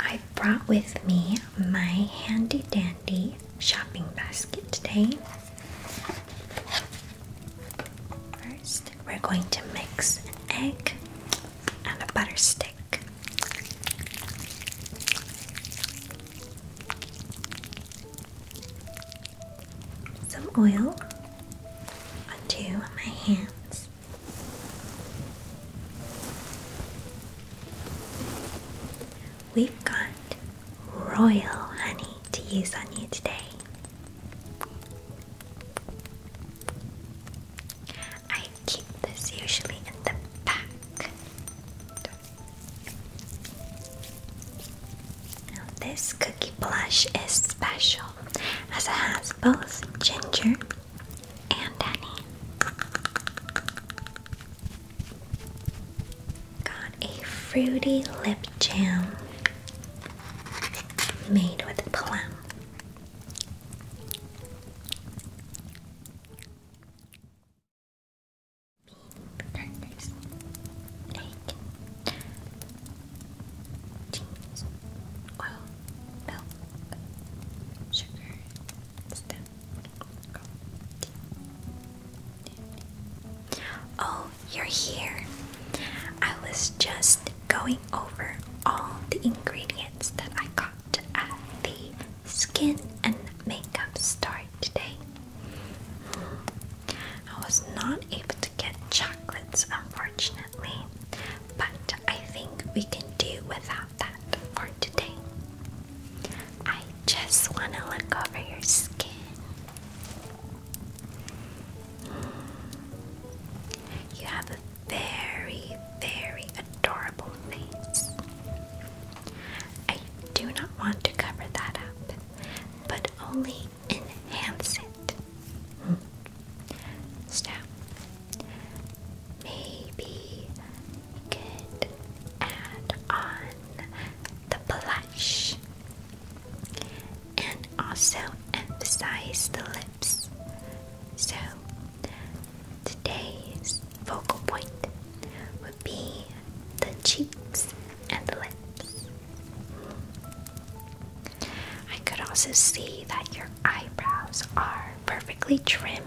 i brought with me my handy dandy shopping basket today. First, we're going to mix an egg and a butter stick. Some oil onto my hands. We've got royal honey to use on you today. I keep this usually in the back. this cookie blush is special as it has both ginger and honey. Got a fruity lip jam made with plum. Crackers, egg, cheese, oil, milk, sugar, stuff. Oh, you're here. I was just going over all the ingredients that I got at the skin and makeup store today. I was not able to get chocolates, unfortunately, but I think we can do without that for today. I just want to look over your skin. You have a very, very adorable face. I do not want to cover that up, but only enhance it. Mm maybe could add on the blush and also emphasize the lips. So, today's focal point would be the cheeks and the lips. I could also see that your eyebrows are perfectly trimmed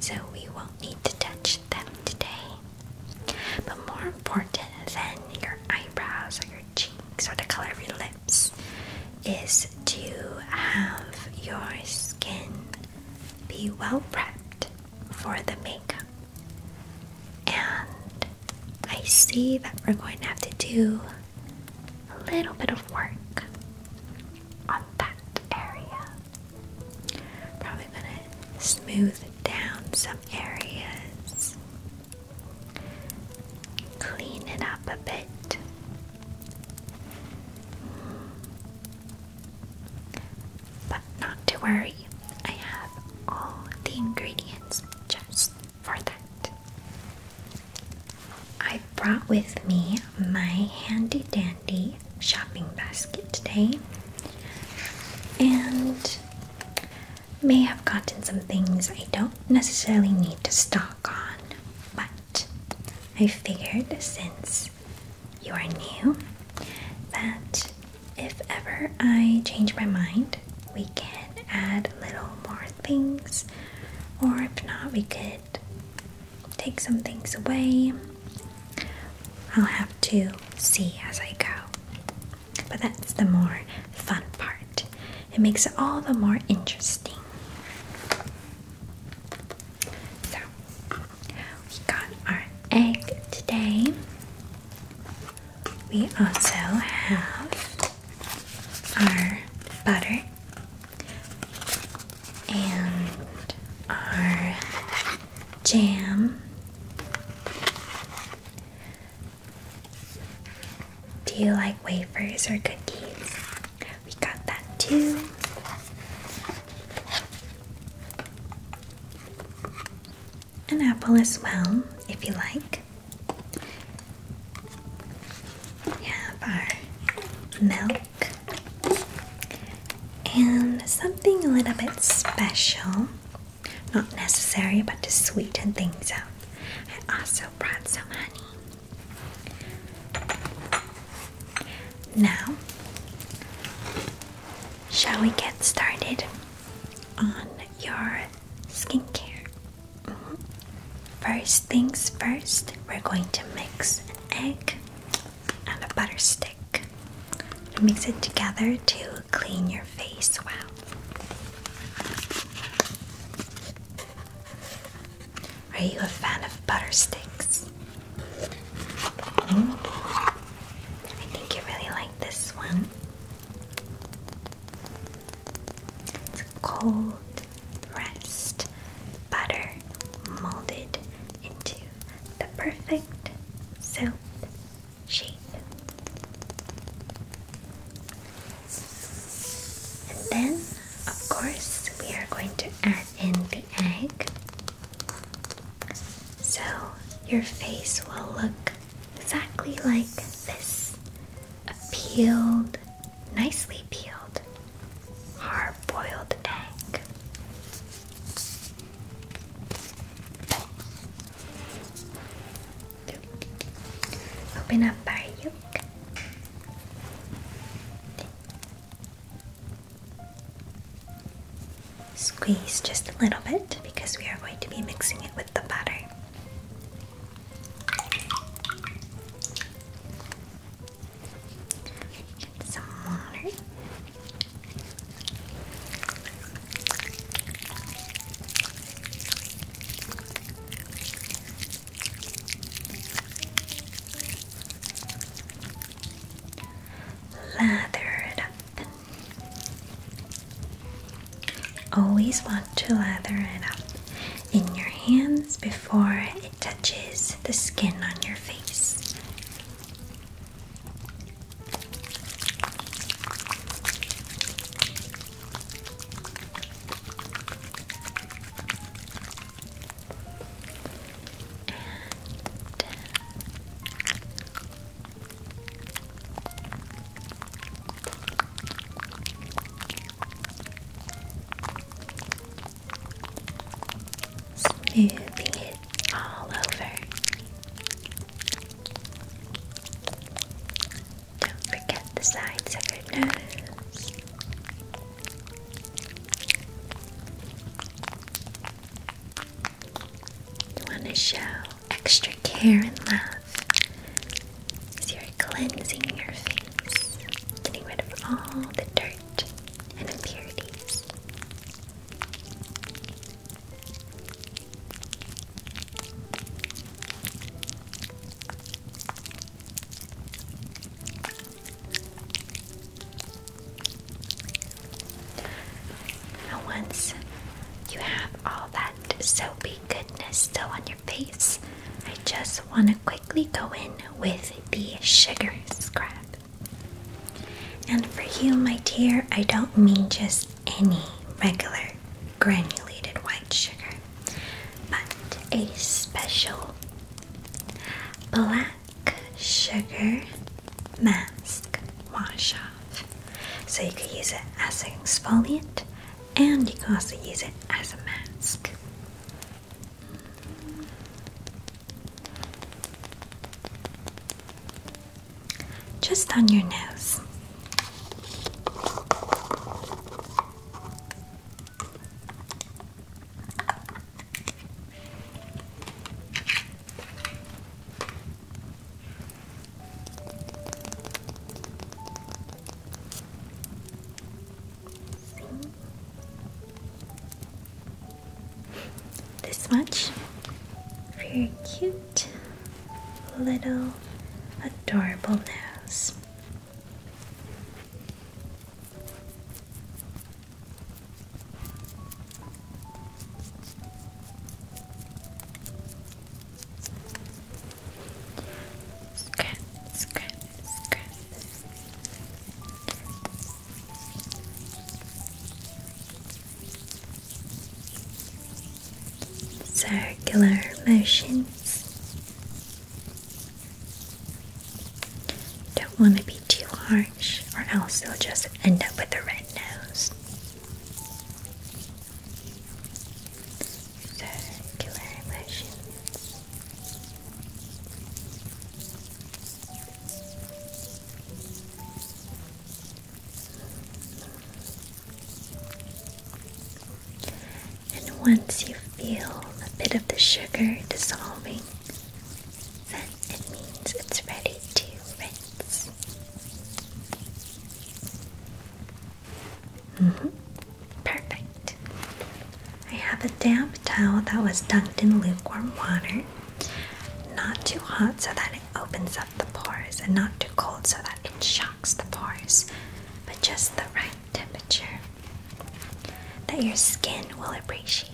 so we won't need to touch them today. But more important than your eyebrows or your cheeks or the color of your lips is to have your skin be well prepped for the makeup. And I see that we're going to have to do a little bit of work on that area. Probably gonna smooth down some areas, clean it up a bit. But not to worry, I have all the ingredients just for that. I brought with me my handy dandy shopping basket today and may have gotten some things I don't necessarily need to stock on, but I figured since you are new that if ever I change my mind, we can add little more things, or if not, we could take some things away. I'll have to see as I go. But that's the more fun part. It makes it all the more interesting. So, we got our egg today. We also have our butter and our jam. Do you like wafers or cookies? We got that too. An apple as well, if you like. We our milk and something a little bit special not necessary but to sweeten things up I also brought some honey now shall we get started on your skincare mm-hmm. first things first we're going to mix an egg and a butter stick. Mix it together to clean your face well. Are you a fan of butter sticks? Hmm? I think you really like this one. It's cold rest butter molded into the perfect soap shape. And then, of course, we are going to add in the egg. So your face will look exactly like this peeled, nicely peeled hard boiled egg. Open up our yolk. Squeeze just a little bit because we are going to be mixing it with the butter some water. Lather it up. Always want to lather it up in your hands before it touches the skin on your face smoothing it all over. Don't forget the sides of your nose. You want to show extra care and love as you're cleansing your face, getting rid of all the dirt and impurities. Now, once you have all that soapy goodness still on your face, I just want to quickly go in with the sugar scrub. And for you, my dear, I don't mean just any regular granulated white sugar, but a special black sugar mask wash So you can use it as an exfoliant and you can also use it as a mask. Just on your nose. This much. Very cute little adorable nose. Scratch, scratch, scratch circular motions. Don't want to be too harsh, or else you'll just end up with a red nose. Circular motions. And once you feel a bit of the sugar dissolving, then it means it's ready to rinse. Mm-hmm. Perfect. I have a damp towel that was dunked in lukewarm water. Not too hot so that it opens up the pores, and not too cold so that it shocks the pores, but just the right temperature that your skin will appreciate.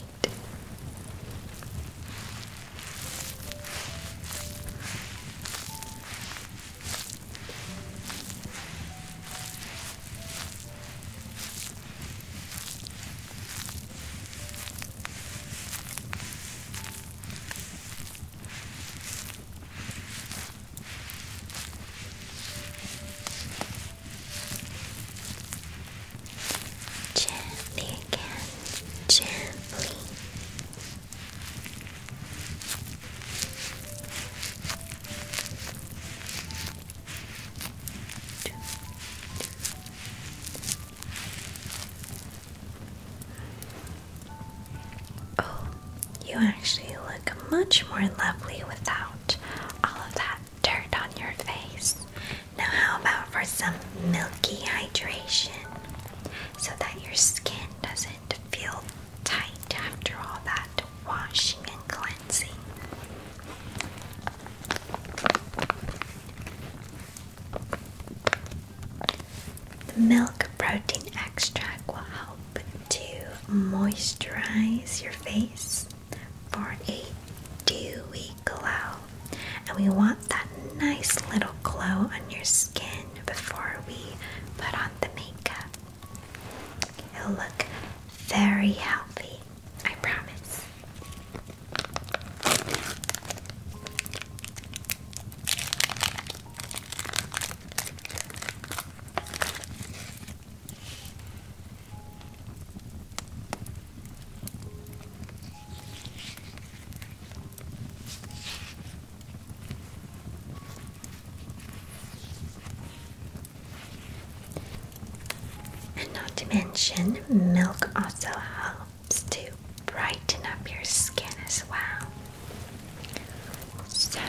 Gently again, gently. Oh, you actually look much more lovely without all of that dirt on your face. Now, how about for some milky hydration so that your skin doesn't feel tight after all that washing and cleansing? The milk protein extract will help to moisturize your face for a dewy glow. And we want that nice little glow on your skin before we put on the makeup. It'll look very healthy I promise. And not to mention, milk also helps to brighten up your skin as well. So,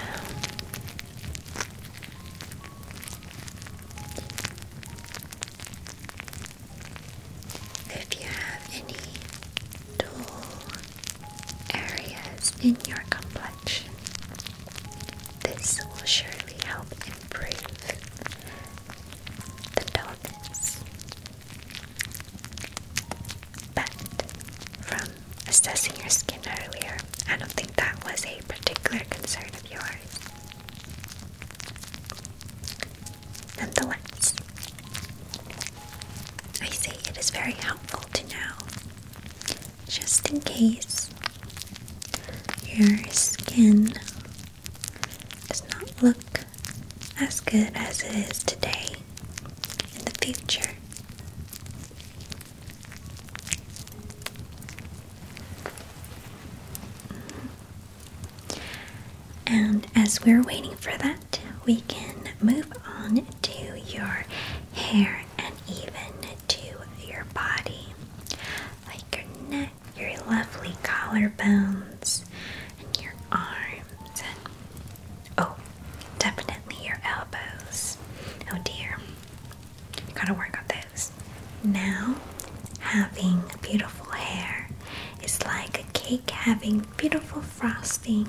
if you have any dull areas in your complexion, this will surely help improve the darkness. But from assessing your skin earlier, I don't think that was a particular concern of yours. Nonetheless, I say it is very helpful to know just in case your skin does not look as good as it is today in the future. And as we're waiting for that, we can move on to your hair and even to your body, like your neck, your lovely collarbones and your arms and oh definitely your elbows oh dear gotta work on those now having beautiful hair is like a cake having beautiful frosting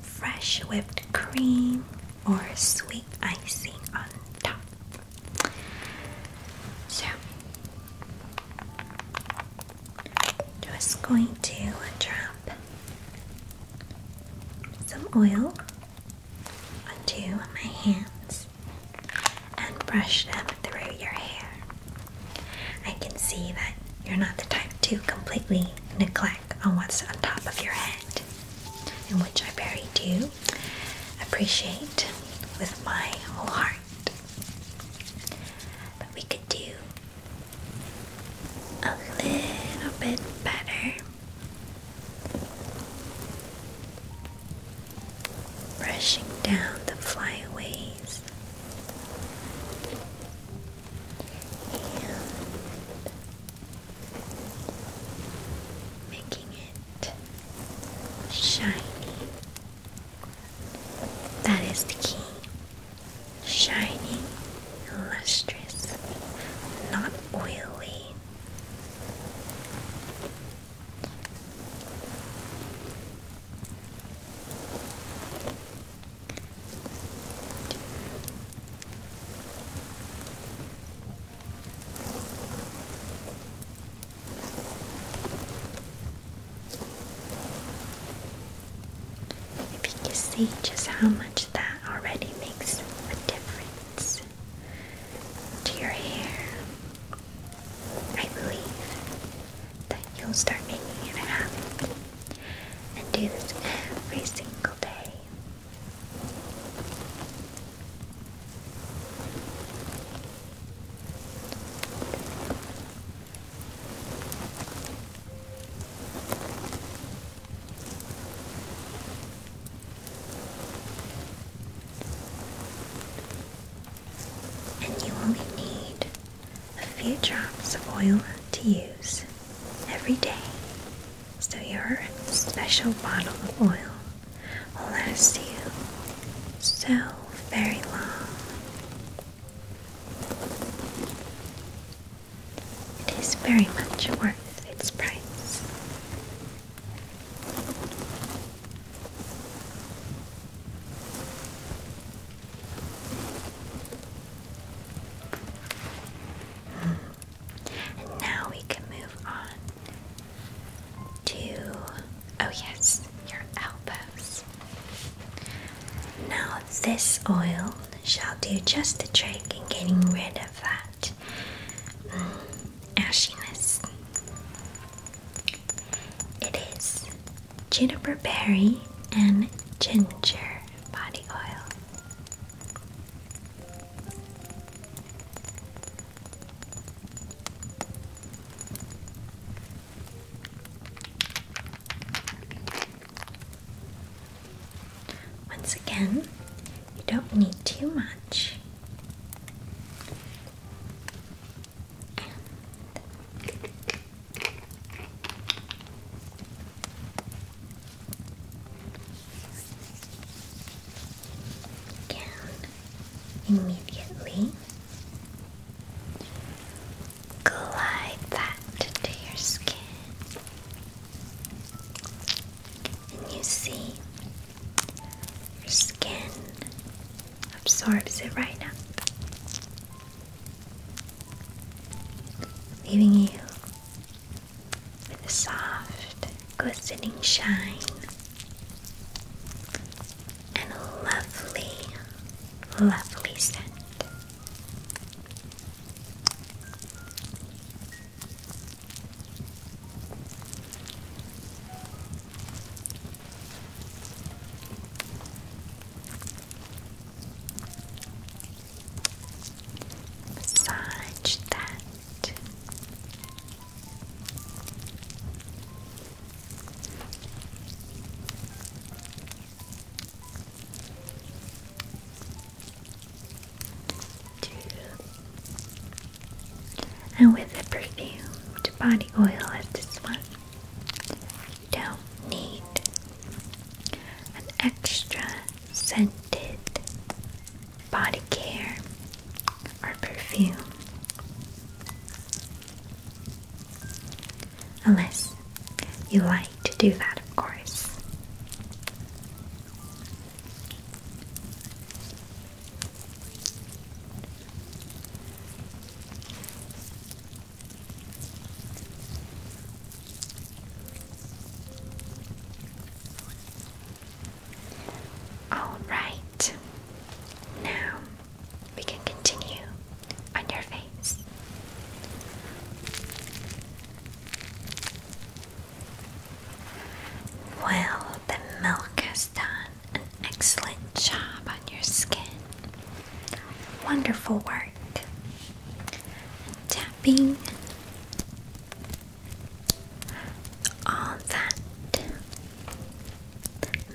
fresh whipped cream or sweet icing on top so, just going to drop some oil onto my hands and brush them through your hair. I can see that you're not the type to completely neglect on what's on top of your head, in which I very do appreciate with my whole heart. But we could do a little bit better. Brushing down the flyaways. And making it shiny that is the key. Shining, lustrous, not oily. If you can see just how much that already makes a difference to your hair, I believe that you'll start making it happen and do this every single day. And you only need a few drops of oil to use every day. So, your special bottle of oil will so very long. It is very much worth its price. Hmm. now we can move on to, oh yes, your elbows. Now, this oil shall do just the trick in getting rid of that mm, ashiness. It is juniper berry and ginger body oil. Once again, you don't need too much. Again, immediately Glide that into your skin. And you see, your skin absorbs it right up, leaving you with a soft, glistening shine and lovely, lovely scent. Massage that and with the perfumed body oil as this one, you don't need an extra scented body care or perfume. Unless you like to do that, of course. All right. Now we can continue on your face. Well, the milk has done an excellent job on your skin. Wonderful work. tapping all that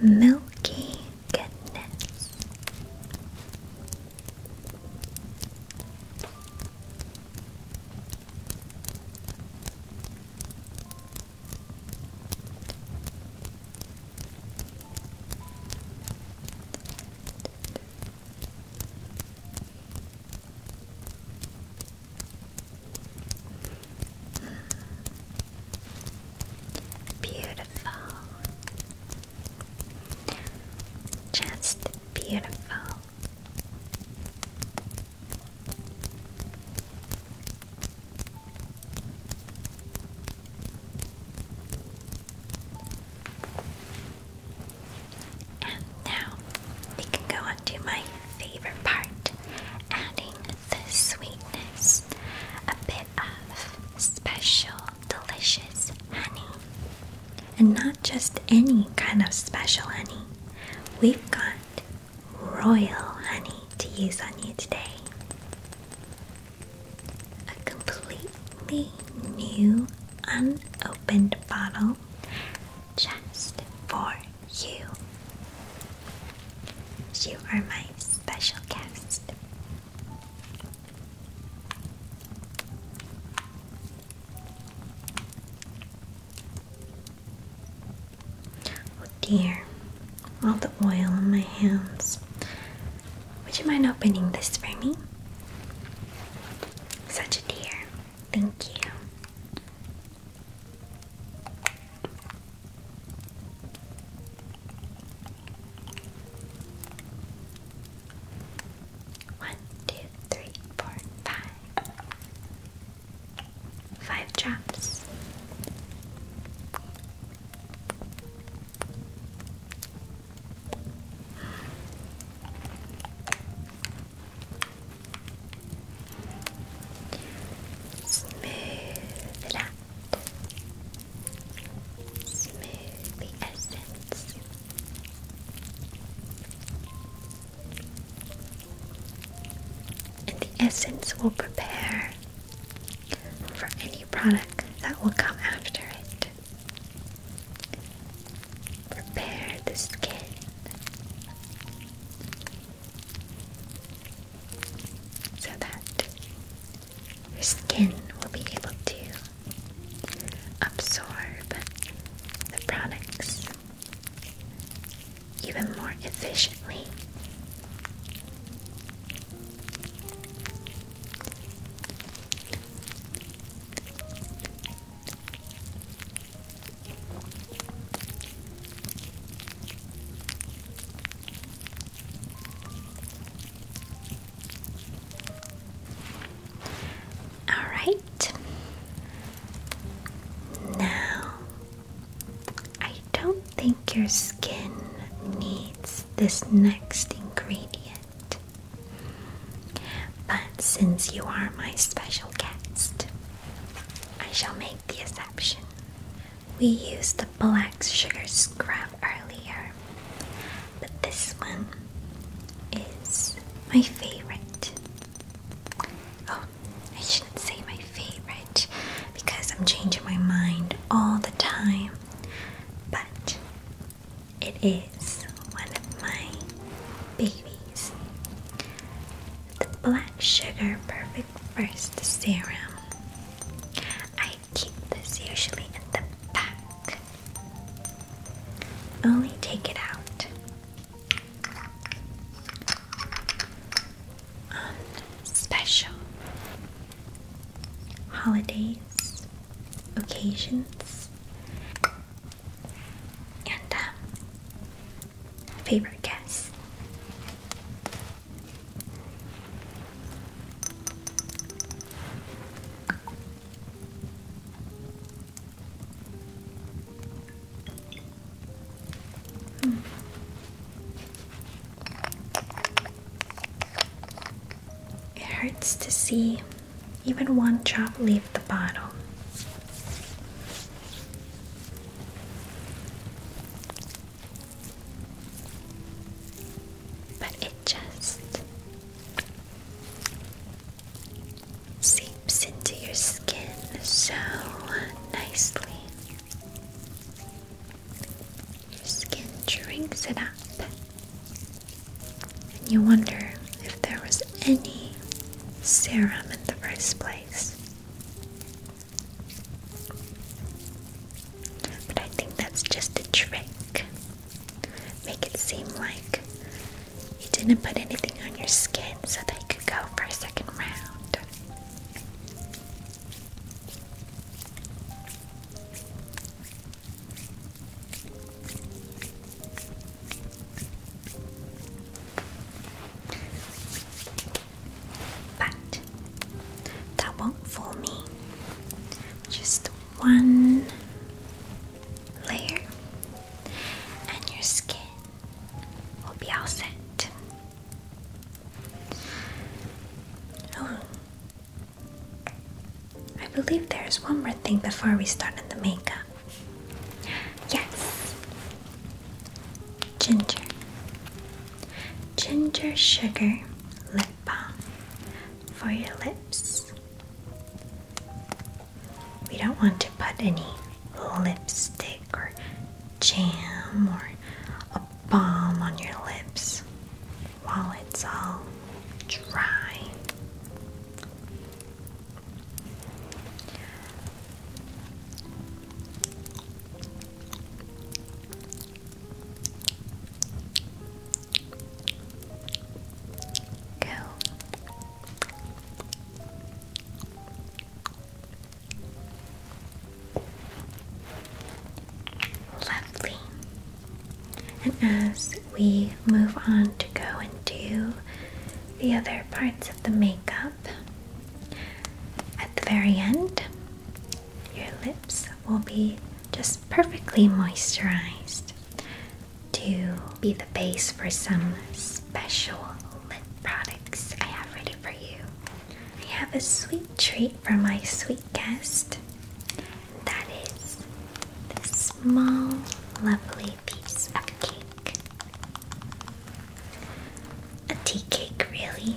milky Get goodness. Beautiful. Just beautiful. And now we can go on to my favorite part adding the sweetness, a bit of special delicious honey. And not just any kind of special honey. We've got royal honey to use on you today. A completely new unopened bottle just for you. You are my special guest. Oh dear, all the oil on my hands. Would you mind opening this for me? Such a dear. Thank you. One, two, three, four, five. Five drops. Smooth the essence. And the essence will prepare for any product that will come after it. Prepare the skin so that your skin will be able to absorb the products even more efficiently. All right. Now, I don't think your skin needs this next ingredient. But since you are my special guest, I shall make the exception. We used the black sugar scrap earlier, but this one is my favorite. Oh, I shouldn't say my favorite because I'm changing my mind all the time, but it is one of my babies. The black sugar perfect first serum. I keep this usually in the back. Only take it out on um, special holidays, occasions, and um, favorite guests. It hurts to see even one drop leave the bottle. But it just seeps into your skin so nicely. Your skin drinks it up, and you wonder if there was any serum in the first place. But I think that's just a trick. Make it seem like you didn't put anything on your skin so they could go for a second round but that won't fool me. Just one layer, and your skin will be all set. Oh, I believe there's one more thing before we start on the makeup. Yes, ginger. Ginger Sugar Lip Balm for your lips. We don't want to put any lipstick or jam or a balm on your lips while it's all dry. Lovely. And as we move on to go and do the other parts of the makeup, at the very end, your lips will be just perfectly moisturized to be the base for some special lip products I have ready for you. I have a sweet treat for my sweet guest. That is this small, lovely piece of cake. A tea cake, really.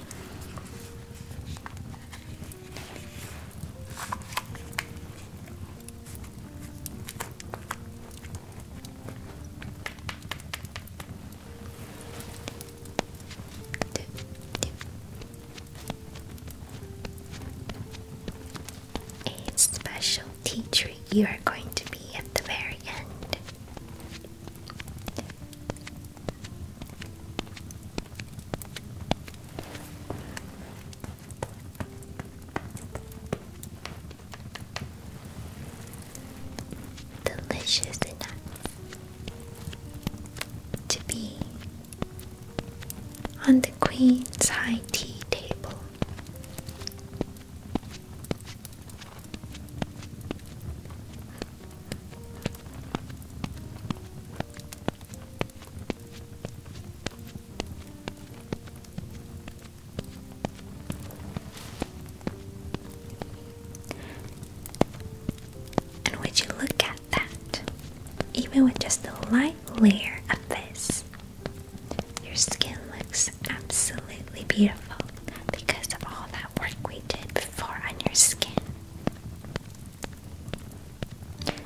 A special tea you are going to be at the very end. Delicious enough to be on the Queen's high tea table. And would you look at that? Even with just a light layer of this, your skin looks absolutely beautiful because of all that work we did before on your skin.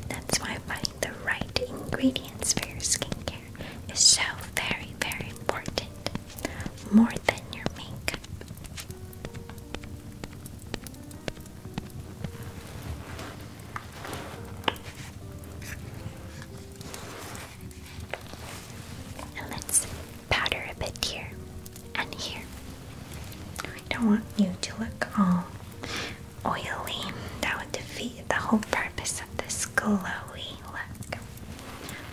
That's why finding the right ingredients for your skincare is so very, very important. More than your makeup. And let's powder a bit here and here. I don't want you to look all oily. That would defeat the whole purpose of this glowy look.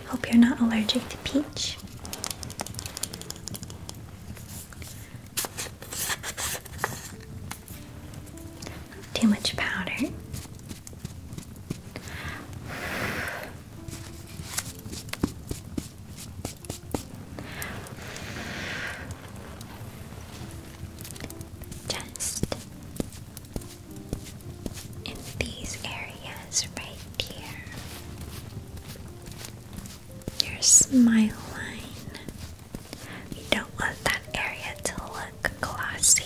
Hope you're not allergic to peach. Too much powder. Just in these areas right here, your smile line. You don't want that area to look glossy.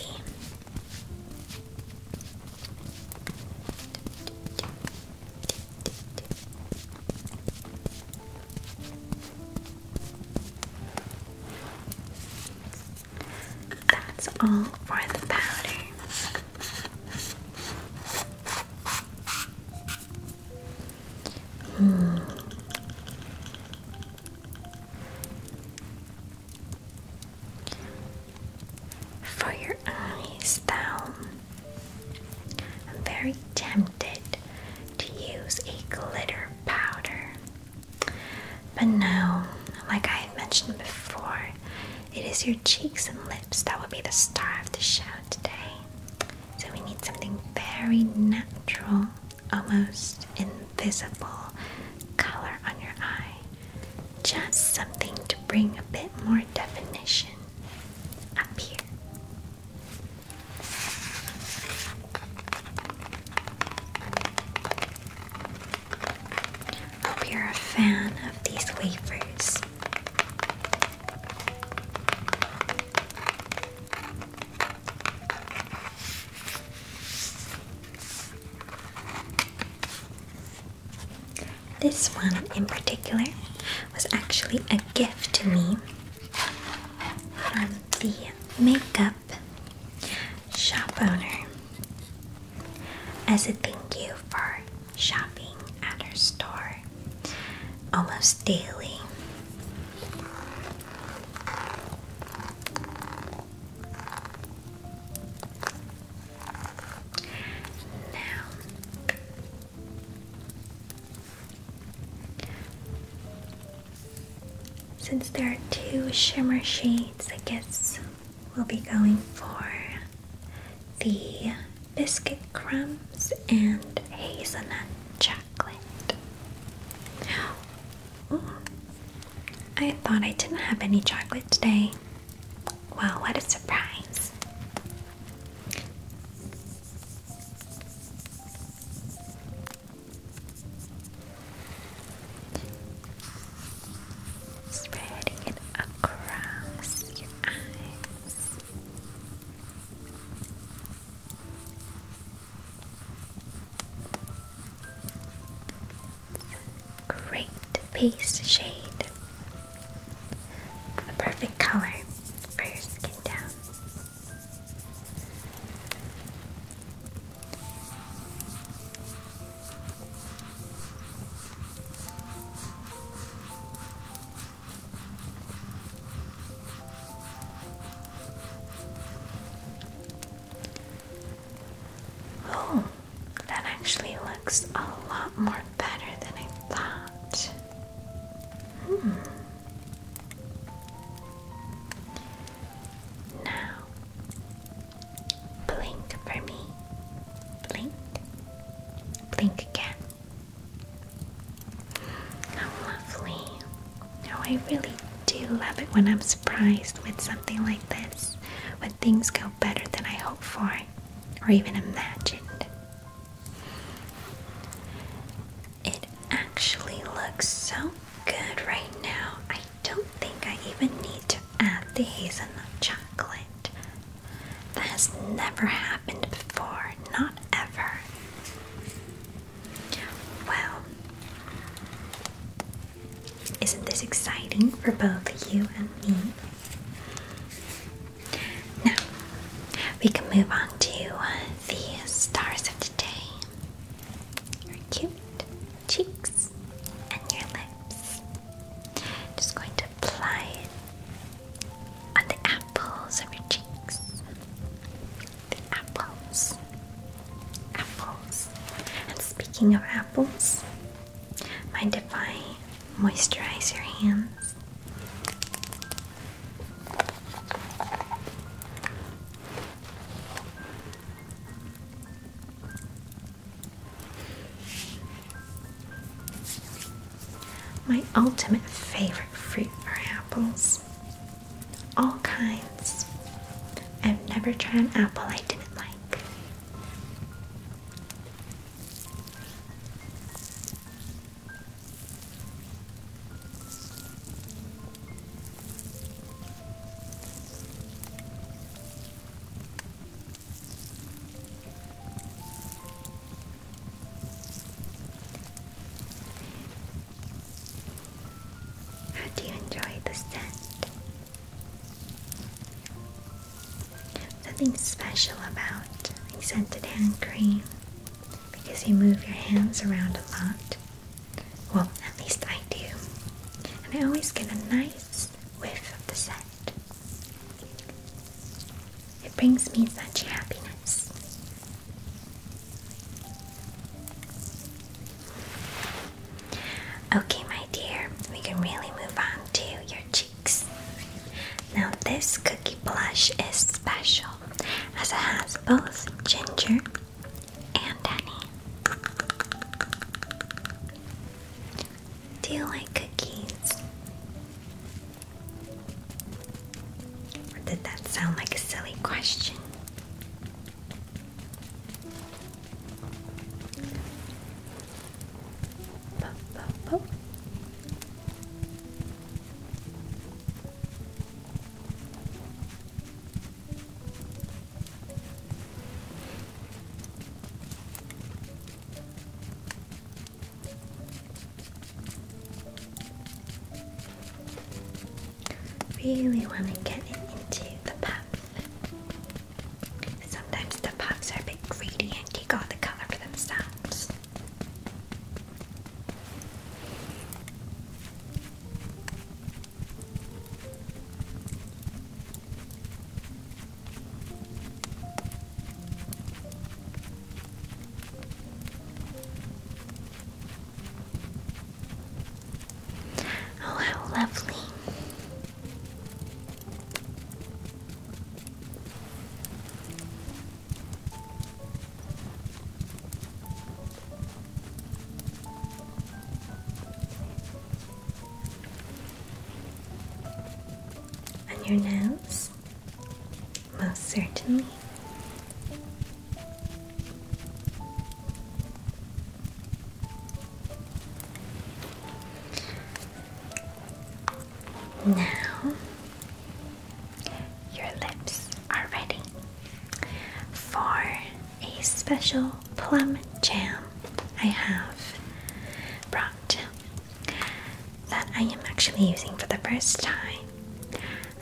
That's all for the powder. Mm. For your eyes, down. I'm very tempted to use a glitter powder. But no, like I mentioned before, it is your cheeks and lips that will be the star of the show today. So we need something very natural, almost invisible color on your eye. Just something to bring a bit more definition up here. Hope you're a fan of these wafers. This one in particular was actually a gift to me from the makeup shop owner as a thank you for shopping at her store almost daily. Now, since there are two shimmer shades, I guess we'll be going for the biscuit crumbs and hazelnut chocolate. Oh, I thought I didn't have any chocolate today. Wow, what a surprise! Spreading it across your eyes. Great paste shade. The perfect color for your skin tone. Oh, that actually looks a lot more better than I thought. Hmm. Now, blink for me. Blink. Blink again. How lovely. Now, I really do love it when I'm surprised with something like this, when things go better than I hope for or even imagined. It actually looks so good right now. I don't think I even need to add the hazelnut chocolate. That has never happened before, not ever. Well, isn't this exciting for both you and me? Now, we can move on to uh, the stars of today. Your cute cheeks and your lips. Just going to apply it on the apples of your cheeks. The apples. Apples. And speaking of apples, mind if I moisturize your hands? My ultimate favorite fruit are apples. All kinds. I've never tried an apple I didn't like. How do you enjoy the scent? Nothing special about like scented hand cream because you move your hands around a lot. Well, at least I do. And I always get a nice whiff of the scent. It brings me such happiness. Okay, my dear, we can really move on to your cheeks. Now, this cookie blush is special as it has both ginger and honey. Do you like cookies? did that sound like a silly question? Really want to get it into the puff. Sometimes the puffs are a bit greedy and take all the color for themselves. Oh, how lovely. On your nose? Most certainly. Now, your lips are ready for a special plum jam I have brought that I am actually using for the first time.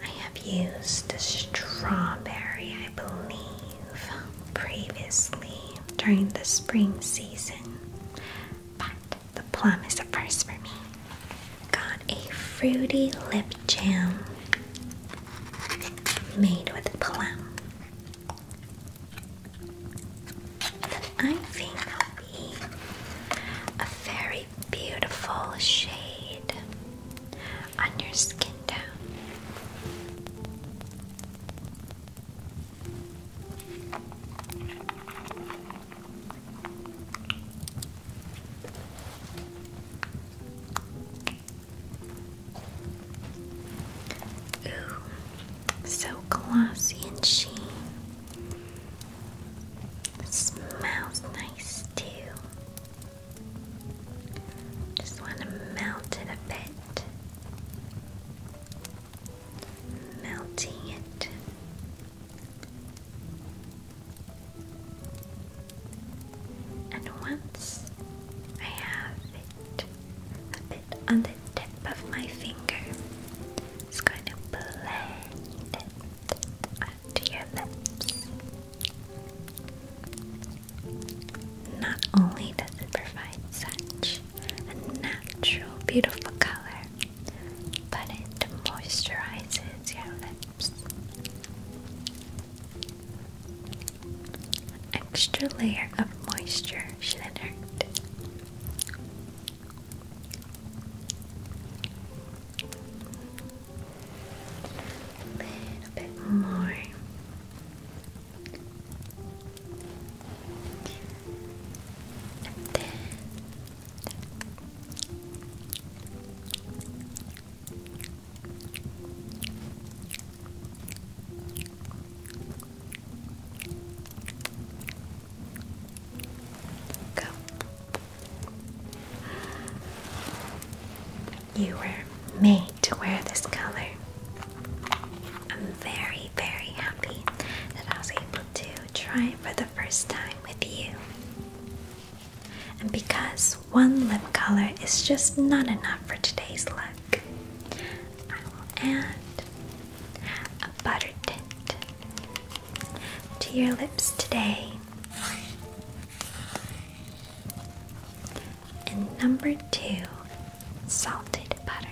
I have used strawberry, I believe, previously during the spring season, but the plum is the first for me. Got a fruity lip jam made with plum. That I think will be a very beautiful shade on your skin tone. Ooh, so glossy and sheen. smells nice too. Just want to melt it a bit. Melting it and once I have it a bit on the tip of my finger, it's going to blend it onto your lips. Not only does it provide such a natural, beautiful color, but it moisturizes your lips. Extra layer of moisture should A little bit more. And then Go. You were made to wear this color. I'm very, very happy that I was able to try it for the first time with you. And because one lip color is just not enough for today's look, I will add a butter tint to your lips today. And number two, salted butter.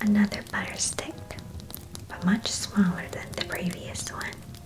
Another butter stick, but much smaller than the previous one.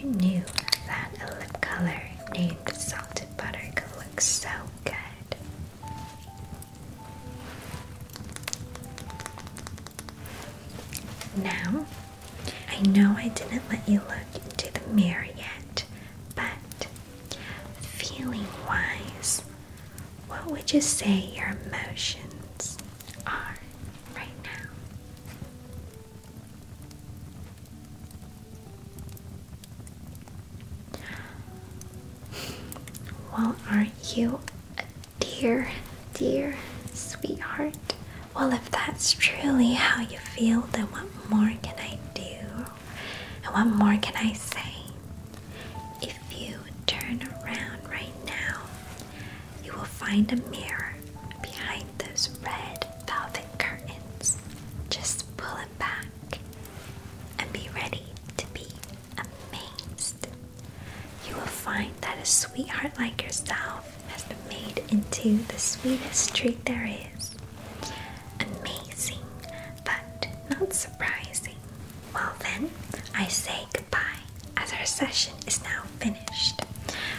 who knew that a lip color named Salted Butter could look so good? Now, I know I didn't let you look into the mirror yet, but feeling wise, what would you say your emotions are right now. Well, aren't you a dear, dear sweetheart? Well, if that's truly how you feel, then what more can I do? And what more can I say? If if you turn around right now, you will find a mirror behind those red velvet curtains. Just pull it back and be ready to be amazed. You will find that a sweetheart like yourself has been made into the sweetest treat there is. Amazing, but not surprising. Well, then, I say goodbye as our session is now finished.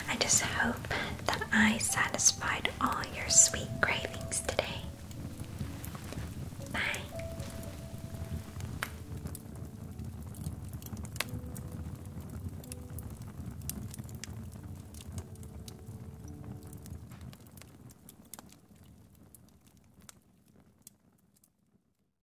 I just hope that I satisfied all your sweet cravings today. Bye.